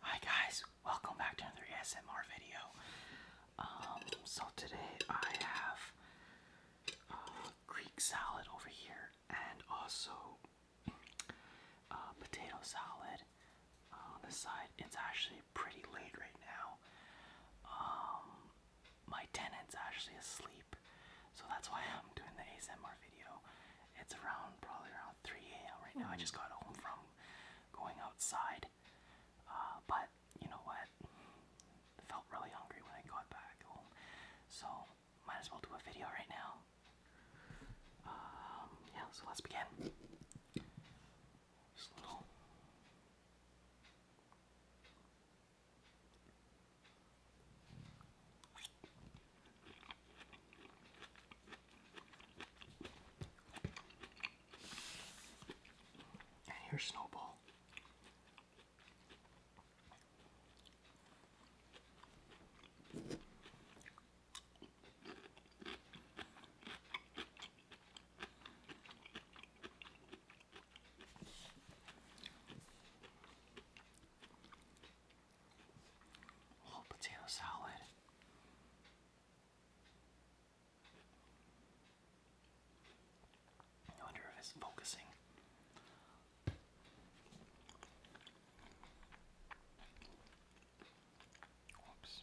Hi guys, welcome back to another ASMR video. Um, so today I have uh, Greek salad over here and also uh, potato salad on the side. It's actually pretty late right now. Um, my tenant's actually asleep so that's why I'm doing the ASMR video. It's around probably around 3 a.m. right now. I just got home from going outside. Uh, but you know what? felt really hungry when I got back home. So might as well do a video right now. Um, yeah, so let's begin. Just a little and here's Snowball. Whole potato salad. I wonder if it's focusing. Whoops.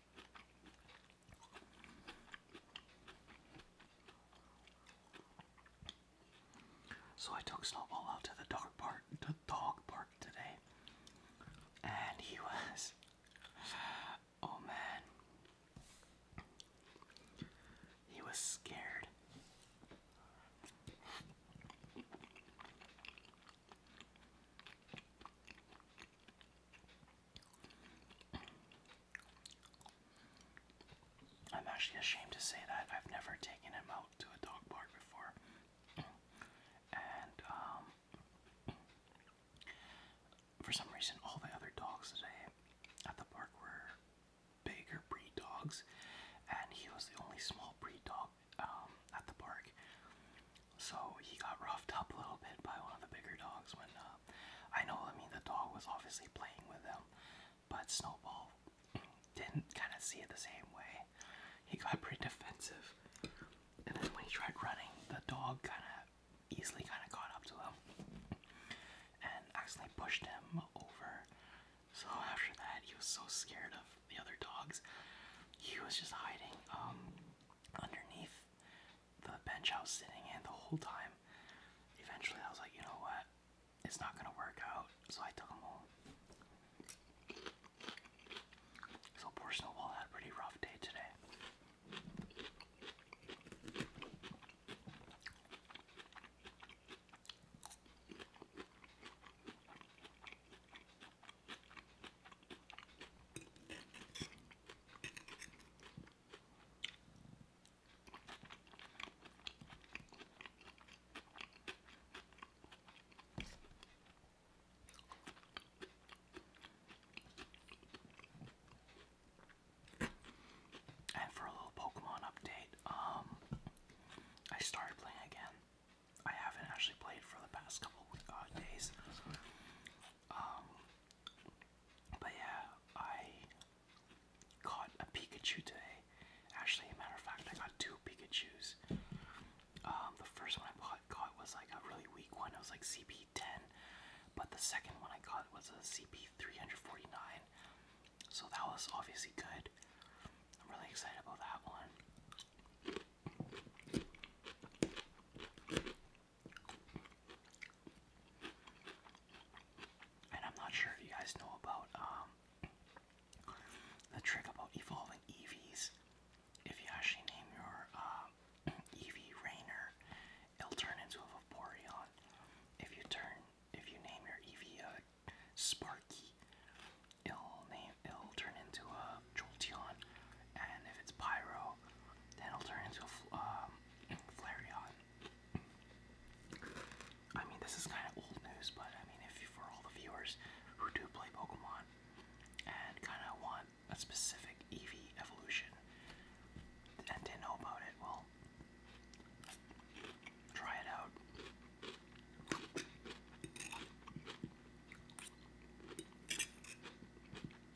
So I took Snowball out to the dog park, the dog park today, and he was, oh man, he was scared. I'm actually ashamed to say that I've never taken him out to a dog park before. And um, for some reason, all the other dogs today at the park were bigger breed dogs, and he was the only small breed dog um, at the park. So he got roughed up a little bit by one of the bigger dogs when uh, I know, I mean, the dog was obviously playing with him, but Snowball didn't kind of see it the same way. He got pretty defensive, and then when he tried running, the dog kind of easily kind of caught up to him and accidentally pushed him over. So after that, he was so scared of the other dogs, he was just hiding um, underneath the bench I sitting in the whole time. Eventually, I was like, you know what? It's not gonna work out, so I took him home. So poor had a pretty rough day today. And for a little Pokemon update, um, I started playing again. I haven't actually played for the past couple of uh, days. Um, but yeah, I caught a Pikachu today. Actually, a matter of fact, I got two Pikachu's. Um, the first one I caught was like a really weak one. It was like CP10, but the second one I caught was a CP349. So that was obviously good. I'm really excited about that one. And I'm not sure if you guys know about um, the trick about evolving EVs. If you actually name your uh, um, EV Rainer, it'll turn into a Vaporeon. If you turn, if you name your EV Sparky, it'll name it'll turn into a Jolteon, and if it's Pyro, then it'll turn into a um, Flareon. I mean, this is kind of old news, but I mean, if for all the viewers who do play Pokemon and kind of want a specific Eevee evolution and didn't know about it, well, try it out.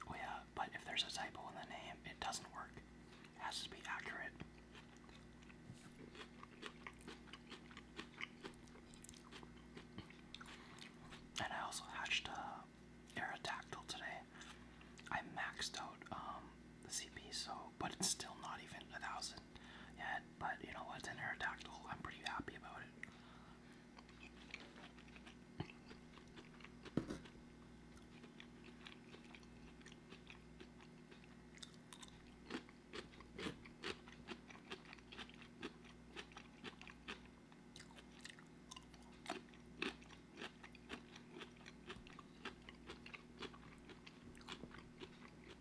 Oh yeah, but if there's a typo in the name, it doesn't work. It has to be accurate. And I also hatched a uh, Aerodactyl today. I maxed out um, the CP, so but it's still not even a thousand yet, but you know what's in her tactile. I'm pretty happy about it.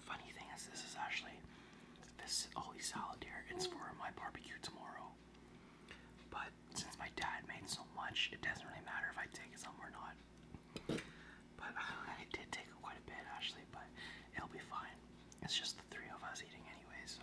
Funny thing is, this is actually this holy salad here. It's for my barbecue tomorrow. But since my dad made so much, it doesn't really matter if I take some or not. But uh, I did take quite a bit actually, but it'll be fine. It's just the three of us eating anyway, so.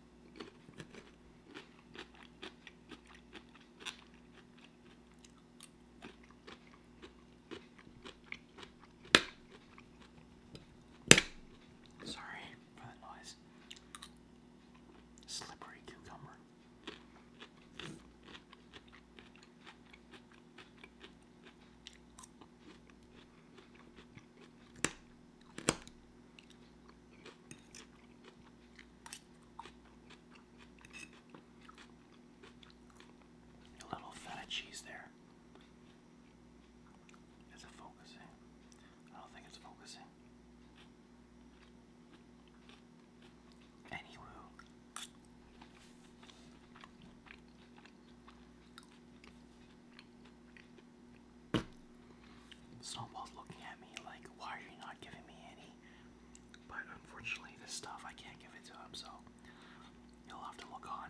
Sorry for the noise. Slippery cucumber. A little feta cheese there. Is it focusing? I don't think it's focusing. Anywho. Snowball's looking at me like, why are you not giving me any? But unfortunately, this stuff I can't give it to him, so you'll have to look on.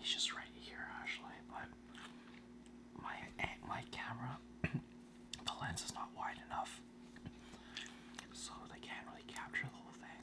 He's just right here actually, but my my camera, the lens is not wide enough, so they can't really capture the whole thing.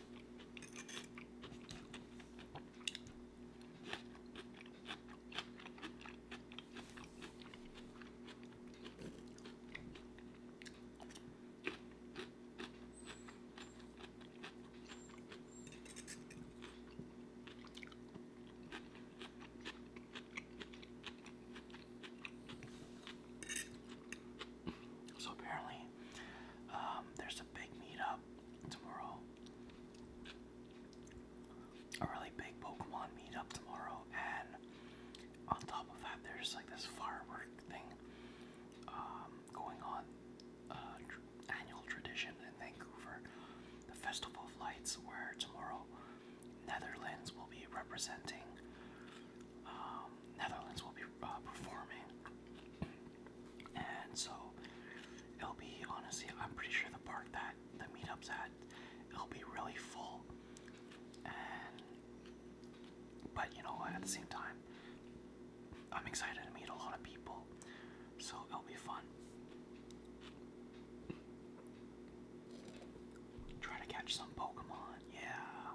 So apparently um, there's a big meetup tomorrow. A really big Pokemon meetup tomorrow, and on top of that, there's like this firework thing um, going on, uh, annual tradition in Vancouver, the Festival of Lights, where tomorrow Netherlands will be representing. Um, Netherlands will be uh, performing and so it'll be honestly, I'm pretty sure the park that the meetup's at, it'll be really full. And but you know what, at the same time, I'm excited to meet a lot of people, so it'll be fun. Try to catch some Pokemon, yeah.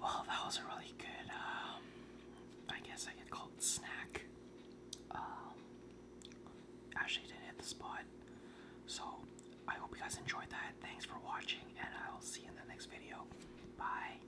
Well, that was a really good, um, I guess I could call it snack. Um, actually did hit the spot. So, I hope you guys enjoyed that. Thanks for watching, and I will see in the next video. Bye.